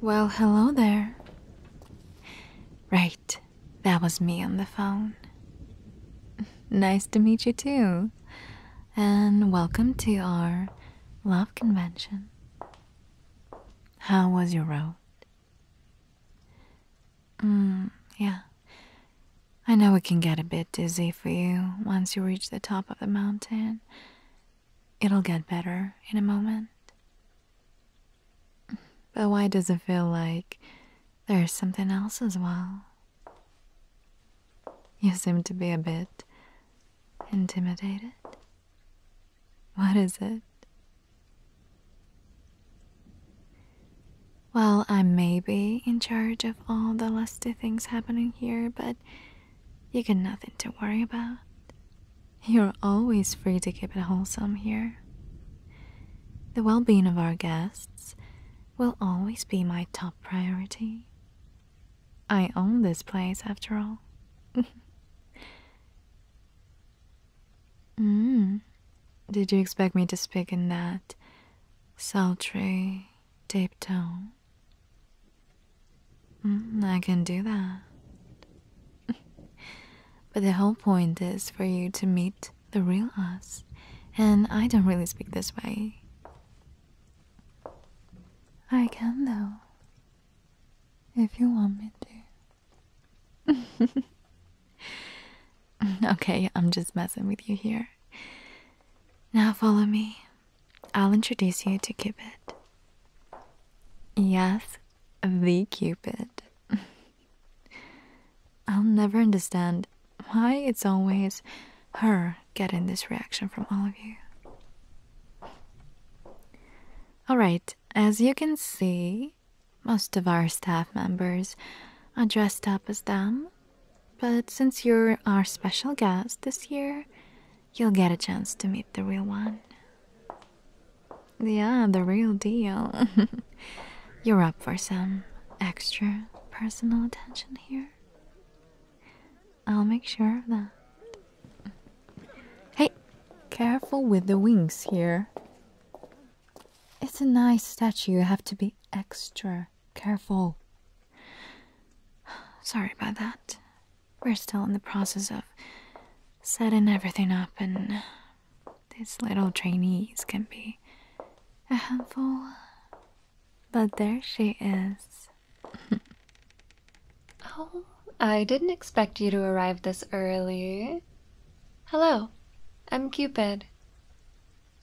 Well, hello there. Right, that was me on the phone. nice to meet you too. And welcome to our love convention. How was your road? Mm, yeah. I know it can get a bit dizzy for you once you reach the top of the mountain. It'll get better in a moment. But why does it feel like there's something else as well? You seem to be a bit intimidated. What is it? Well, I may be in charge of all the lusty things happening here, but you have got nothing to worry about. You're always free to keep it wholesome here. The well being of our guests will always be my top priority. I own this place after all. mm. Did you expect me to speak in that sultry, deep tone? Mm, I can do that. but the whole point is for you to meet the real us, and I don't really speak this way. I can, though, if you want me to. okay, I'm just messing with you here. Now follow me. I'll introduce you to Cupid. Yes, the Cupid. I'll never understand why it's always her getting this reaction from all of you. Alright, as you can see, most of our staff members are dressed up as them, but since you're our special guest this year, you'll get a chance to meet the real one. Yeah, the real deal. You're up for some extra personal attention here. I'll make sure of that. Hey, careful with the wings here. It's a nice statue, you have to be extra careful. Sorry about that. We're still in the process of setting everything up, and these little trainees can be a handful. But there she is. oh, I didn't expect you to arrive this early. Hello, I'm Cupid.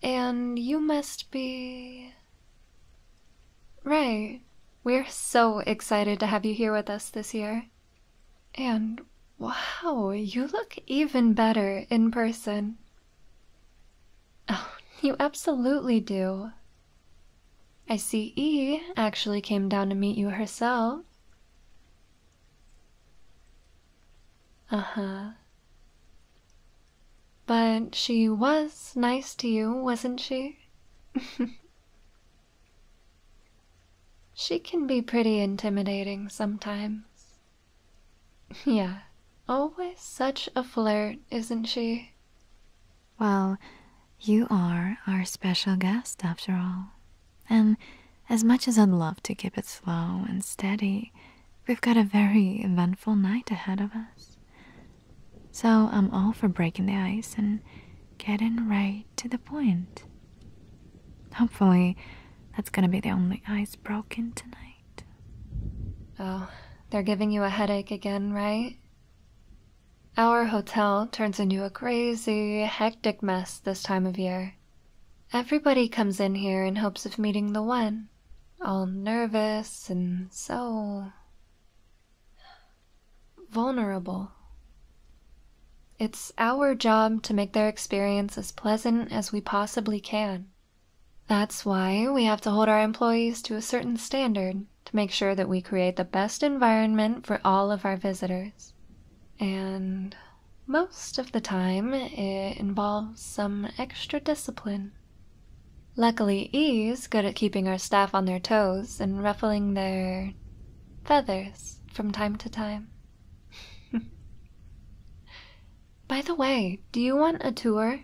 And you must be. Ray, we're so excited to have you here with us this year. And wow, you look even better in person. Oh, you absolutely do. I see E actually came down to meet you herself. Uh huh. But she was nice to you, wasn't she? She can be pretty intimidating sometimes. Yeah, always such a flirt, isn't she? Well, you are our special guest after all. And as much as I'd love to keep it slow and steady, we've got a very eventful night ahead of us. So I'm all for breaking the ice and getting right to the point. Hopefully, that's gonna be the only ice broken tonight. Oh, they're giving you a headache again, right? Our hotel turns into a crazy, hectic mess this time of year. Everybody comes in here in hopes of meeting the one, all nervous and so vulnerable. It's our job to make their experience as pleasant as we possibly can. That's why we have to hold our employees to a certain standard to make sure that we create the best environment for all of our visitors. And most of the time, it involves some extra discipline. Luckily, E's good at keeping our staff on their toes and ruffling their feathers from time to time. By the way, do you want a tour?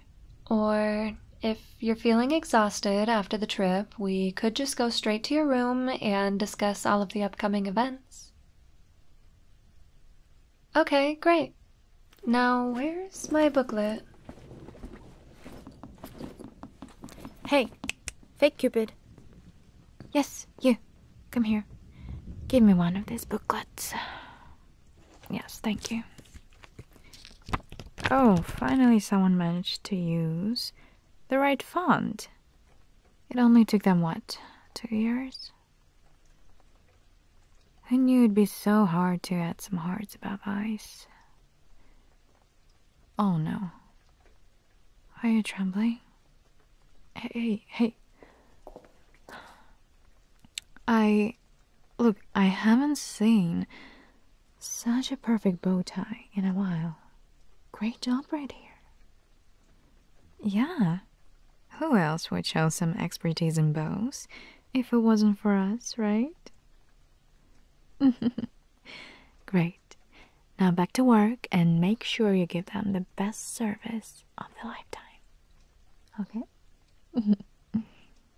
Or if you're feeling exhausted after the trip, we could just go straight to your room and discuss all of the upcoming events. Okay, great. Now, where's my booklet? Hey, Fake Cupid. Yes, you. Come here. Give me one of these booklets. Yes, thank you. Oh, finally someone managed to use the right font. It only took them, what, two years? I knew it'd be so hard to add some hearts above eyes. Oh no. Are you trembling? Hey, hey, hey. I. Look, I haven't seen such a perfect bow tie in a while. Great job right here. Yeah. Who else would show some expertise in bows if it wasn't for us, right? Great. Now back to work and make sure you give them the best service of the lifetime. Okay?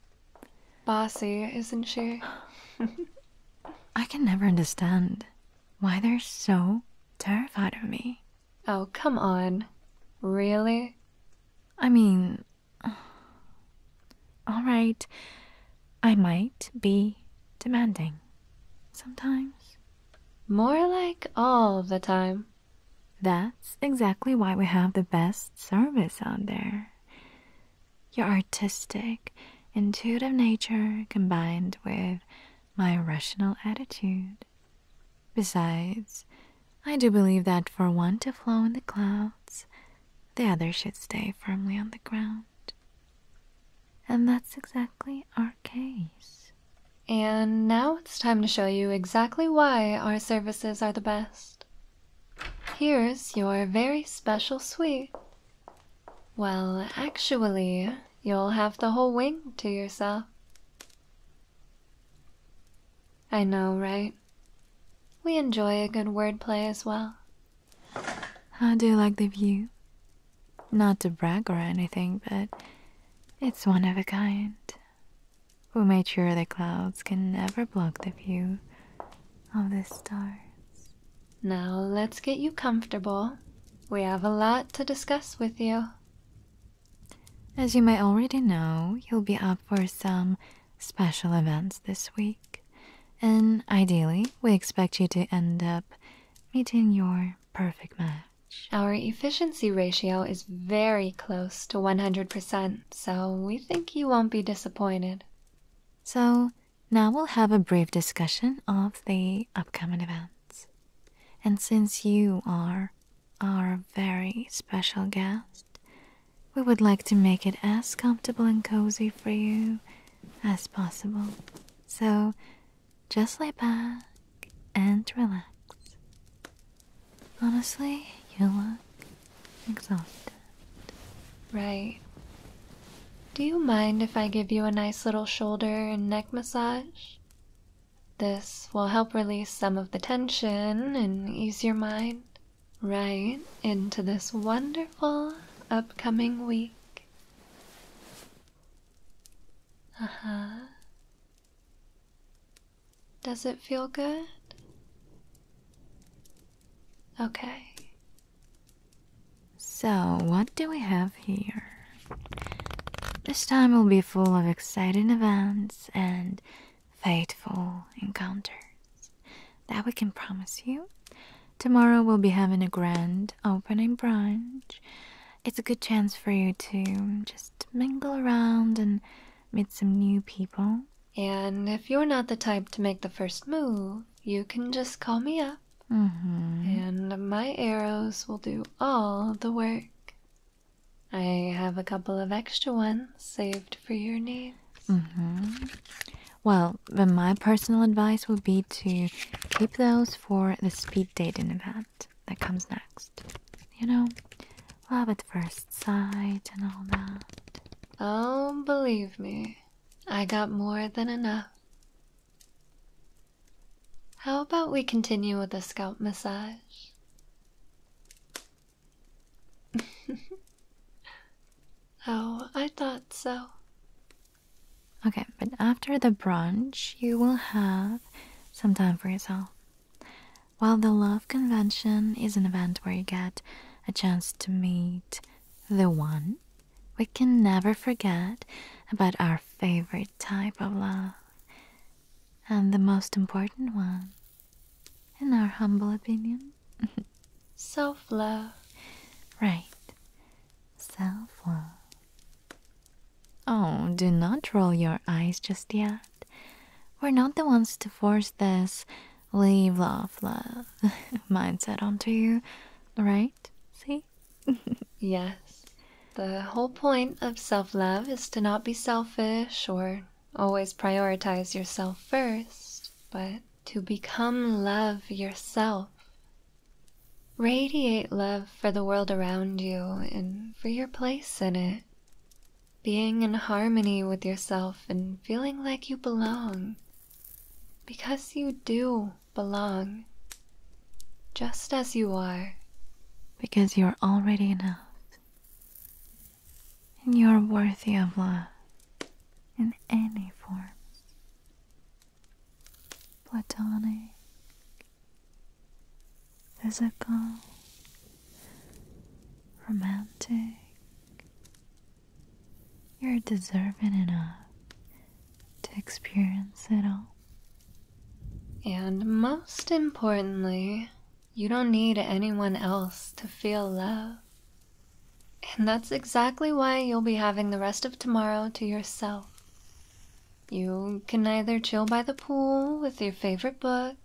Bossy, isn't she? I can never understand why they're so terrified of me. Oh, come on. Really? I mean, all right, I might be demanding sometimes. More like all the time. That's exactly why we have the best service out there. Your artistic, intuitive nature combined with my rational attitude. Besides, I do believe that for one to flow in the clouds, the other should stay firmly on the ground. And that's exactly our case. And now it's time to show you exactly why our services are the best. Here's your very special suite. Well, actually, you'll have the whole wing to yourself. I know, right? We enjoy a good wordplay as well. How do you like the view? Not to brag or anything, but it's one of a kind. We made sure the clouds can never block the view of the stars. Now let's get you comfortable. We have a lot to discuss with you. As you may already know, you'll be up for some special events this week. And ideally, we expect you to end up meeting your perfect match. Our efficiency ratio is very close to 100%, so we think you won't be disappointed. So, now we'll have a brief discussion of the upcoming events. And since you are our very special guest, we would like to make it as comfortable and cozy for you as possible. So just lay back and relax. Honestly, you look exhausted. Right. Do you mind if I give you a nice little shoulder and neck massage? This will help release some of the tension and ease your mind right into this wonderful upcoming week. Uh huh. Does it feel good? Okay. So, what do we have here? This time will be full of exciting events and fateful encounters that we can promise you Tomorrow we'll be having a grand opening brunch. It's a good chance for you to just mingle around and meet some new people. And if you're not the type to make the first move, you can just call me up. Mm-hmm. And my arrows will do all the work. I have a couple of extra ones saved for your needs. Mm-hmm. Well, but my personal advice would be to keep those for the speed dating event that comes next. You know, love at first sight and all that. Oh, believe me, I got more than enough. How about we continue with the scalp massage? oh, I thought so. Okay, but after the brunch, you will have some time for yourself. While the Love Convention is an event where you get a chance to meet the one, we can never forget about our favorite type of love and the most important one, in our humble opinion self love. Right. Self love. Oh, do not roll your eyes just yet. We're not the ones to force this leave love love mindset onto you, right? See? yes. The whole point of self love is to not be selfish or always prioritize yourself first, but to become love yourself. Radiate love for the world around you and for your place in it. Being in harmony with yourself and feeling like you belong. Because you do belong. Just as you are. Because you are already enough. And you are worthy of love in any form platonic, physical, romantic. You're deserving enough to experience it all. And most importantly, you don't need anyone else to feel love. And that's exactly why you'll be having the rest of tomorrow to yourself. You can either chill by the pool with your favorite book,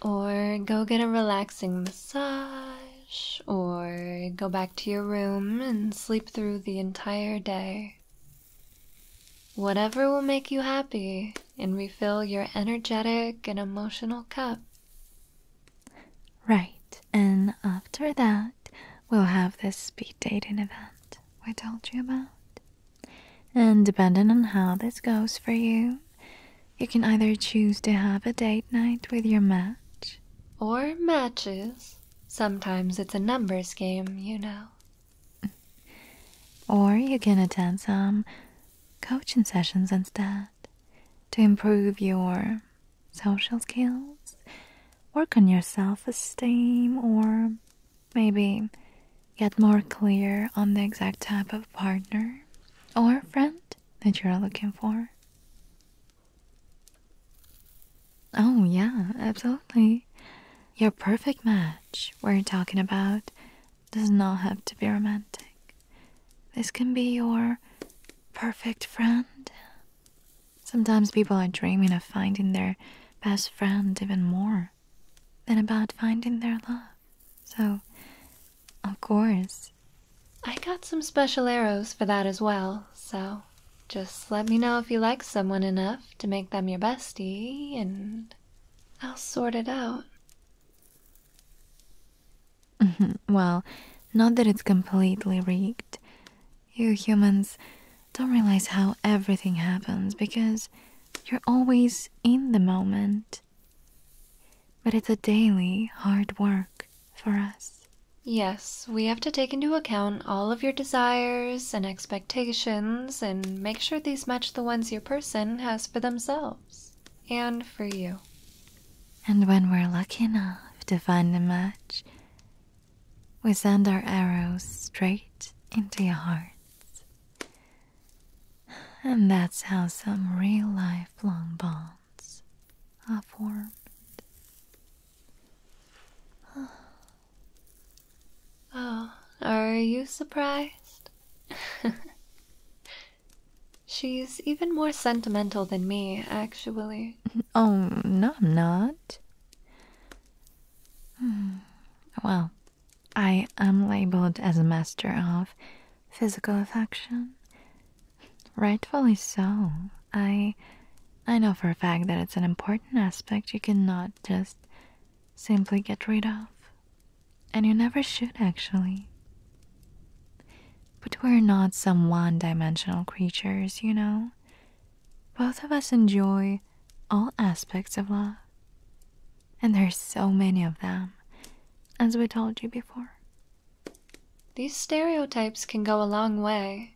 or go get a relaxing massage, or go back to your room and sleep through the entire day. Whatever will make you happy and refill your energetic and emotional cup. Right, and after that, we'll have this speed dating event we told you about. And depending on how this goes for you, you can either choose to have a date night with your match or matches. Sometimes it's a numbers game, you know. Or you can attend some coaching sessions instead to improve your social skills, work on your self esteem, or maybe get more clear on the exact type of partner or friend that you're looking for. Oh, yeah, absolutely. Your perfect match, we're talking about, does not have to be romantic. This can be your perfect friend, Sometimes people are dreaming of finding their best friend even more than about finding their love. So, of course. I got some special arrows for that as well, so just let me know if you like someone enough to make them your bestie, and I'll sort it out. well, not that it's completely rigged. You humans don't realize how everything happens because you're always in the moment. But it's a daily hard work for us. Yes, we have to take into account all of your desires and expectations and make sure these match the ones your person has for themselves and for you. And when we're lucky enough to find a match, we send our arrows straight into your hearts, And that's how some real lifelong bonds are formed. Oh, are you surprised? She's even more sentimental than me, actually. Oh, no, I'm not. Hmm. Well, I am labeled as a master of physical affection. Rightfully so. I I know for a fact that it's an important aspect you cannot just simply get rid of. And you never should actually. But we're not some one dimensional creatures, you know? both of us enjoy all aspects of love. And there's so many of them, as we told you before. These stereotypes can go a long way.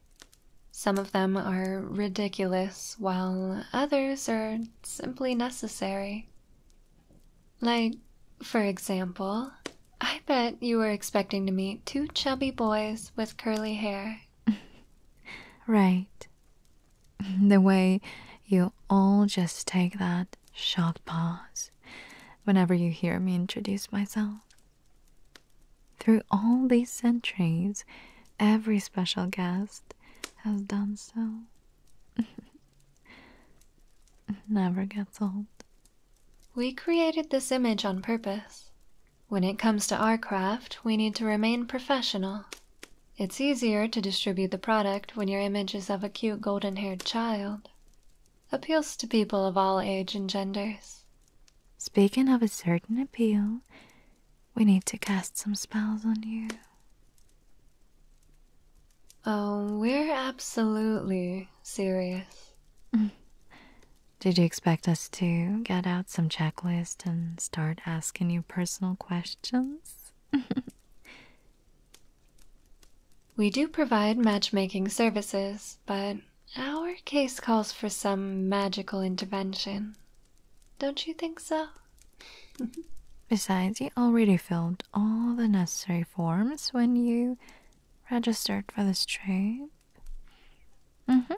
Some of them are ridiculous, while others are simply necessary. Like, for example, I bet you were expecting to meet two chubby boys with curly hair. right. The way you all just take that short pause whenever you hear me introduce myself. Through all these centuries, every special guest has done so. Never gets old. We created this image on purpose. When it comes to our craft, we need to remain professional. It's easier to distribute the product when your image is of a cute golden-haired child. Appeals to people of all age and genders. Speaking of a certain appeal, we need to cast some spells on you. Oh, we're absolutely serious. Mm. Did you expect us to get out some checklist and start asking you personal questions? we do provide matchmaking services, but our case calls for some magical intervention. Don't you think so? Besides, you already filled all the necessary forms when you registered for this trade. Mm-hmm.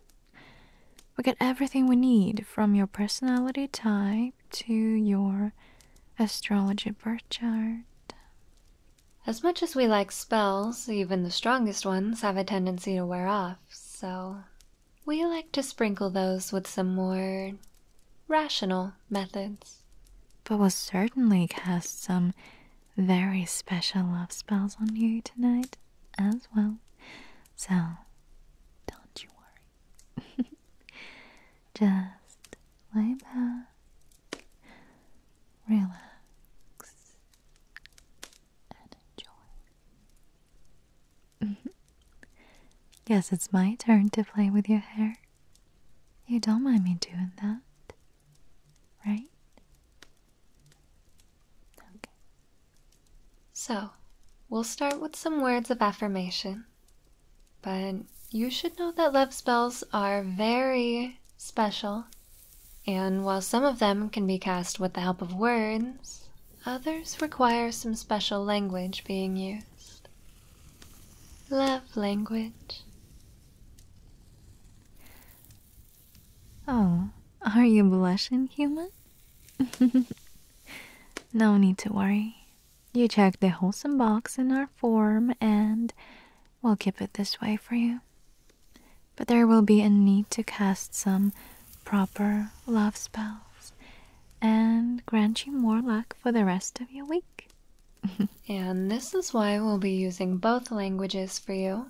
We get everything we need from your personality type to your astrology birth chart. As much as we like spells, even the strongest ones have a tendency to wear off, so we like to sprinkle those with some more rational methods. But we'll certainly cast some very special love spells on you tonight as well. So don't you worry. Just lay back, relax, and enjoy. Yes, it's my turn to play with your hair. You don't mind me doing that, right? So, we'll start with some words of affirmation. But you should know that love spells are very special, and while some of them can be cast with the help of words, others require some special language being used. Love language. Oh, are you blushing, human? no need to worry. You checked the wholesome box in our form and we'll keep it this way for you. But there will be a need to cast some proper love spells and grant you more luck for the rest of your week. and this is why we'll be using both languages for you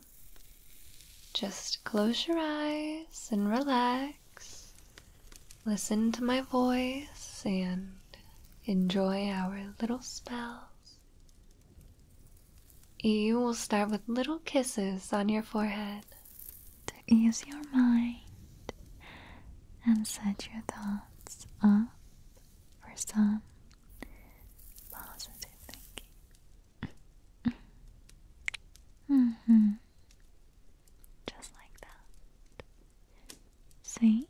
just close your eyes and relax. Listen to my voice and enjoy our little spells. You will start with little kisses on your forehead to ease your mind and set your thoughts up for some positive thinking. Mm-hmm. Just like that. See?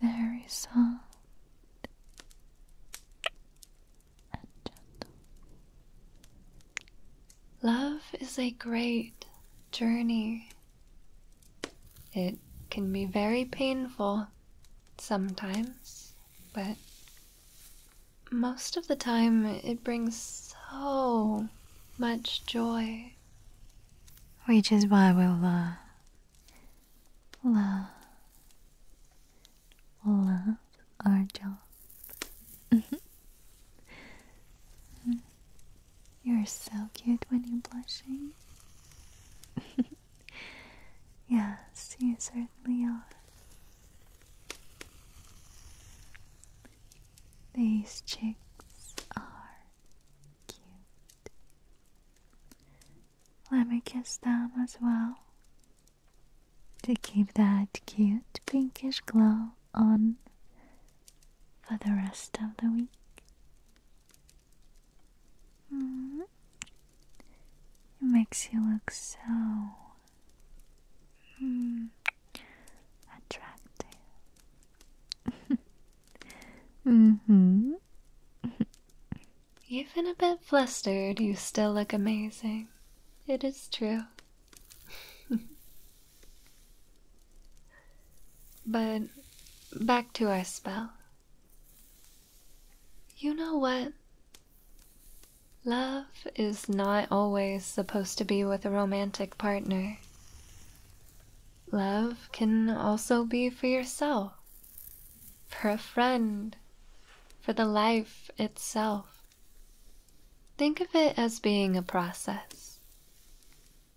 Very soft and gentle. Love is a great journey. It can be very painful sometimes, but most of the time, it brings so much joy. Which is why we'll, uh, love, love our job. You're so cute when you're blushing. yes, you certainly are. These chicks are cute. Let me kiss them as well to keep that cute pinkish glow on for the rest of the week. Mm-hmm. It makes you look so Hmm. Attractive. mm-hmm. Even a bit flustered, you still look amazing. It is true. but back to our spell. You know what? Love is not always supposed to be with a romantic partner. Love can also be for yourself, for a friend, for the life itself. Think of it as being a process.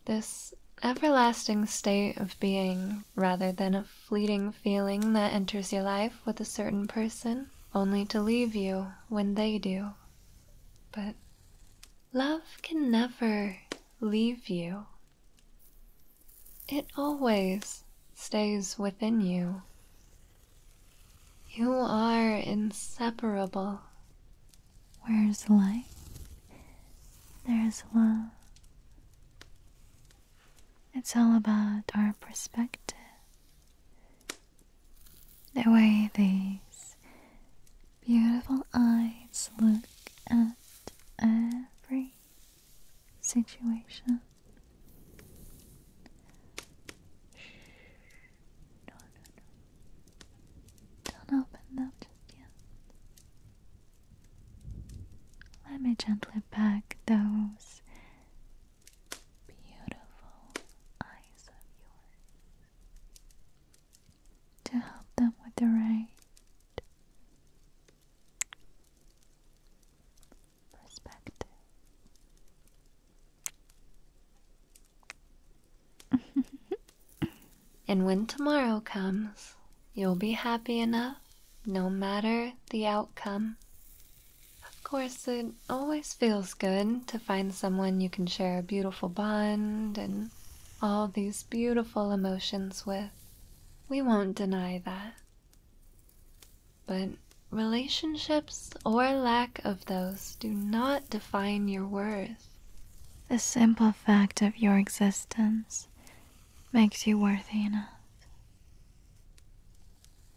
This everlasting state of being rather than a fleeting feeling that enters your life with a certain person only to leave you when they do. But love can never leave you, it always stays within you. You are inseparable. Where is life? there is love. It's all about our perspective. The way these beautiful eyes look at every situation. Shh. No, no, no. Don't open that just yet. Let me gently pack those beautiful eyes of yours to help them with the right perspective. and when tomorrow comes, you'll be happy enough no matter the outcome. Of course, it always feels good to find someone you can share a beautiful bond and all these beautiful emotions with. We won't deny that. But relationships or lack of those do not define your worth. The simple fact of your existence makes you worthy enough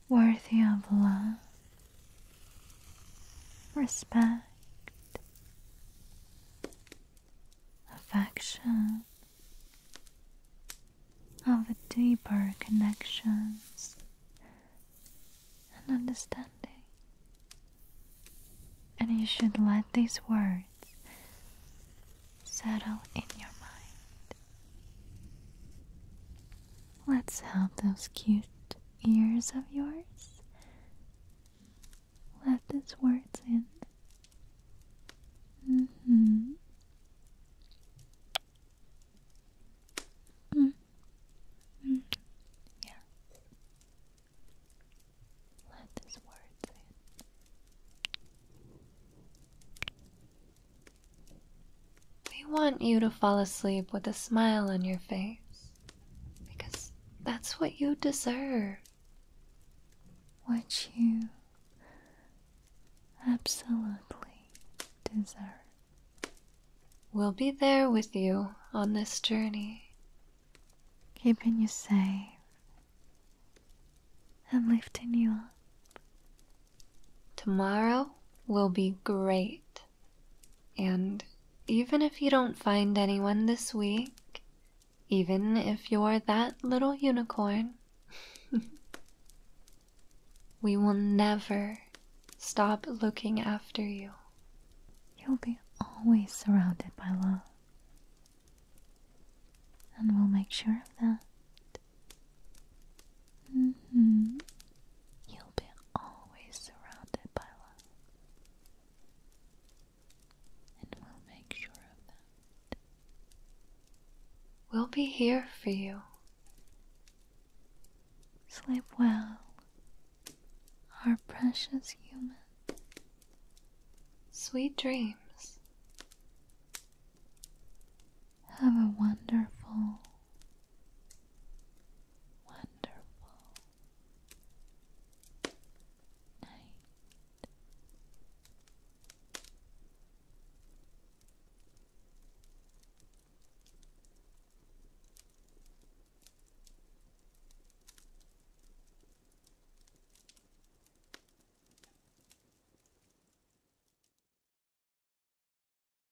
worthy of love, respect, affection, of deeper connections and understanding. And you should let these words settle in your mind. Let's help those cute ears of yours let these words in. Mm hmm. Yeah. Let these words in. We want you to fall asleep with a smile on your face because that's what you deserve. What you absolutely deserve. We'll be there with you on this journey, keeping you safe and lifting you up Tomorrow will be great. And even if you don't find anyone this week, even if you're that little unicorn, we will never stop looking after you. You'll be always surrounded by love. And we'll make sure of that. Mm-hmm. You'll be always surrounded by love. And we'll make sure of that. We'll be here for you. Sleep well, our precious human. Sweet dreams. Have a wonderful, wonderful night.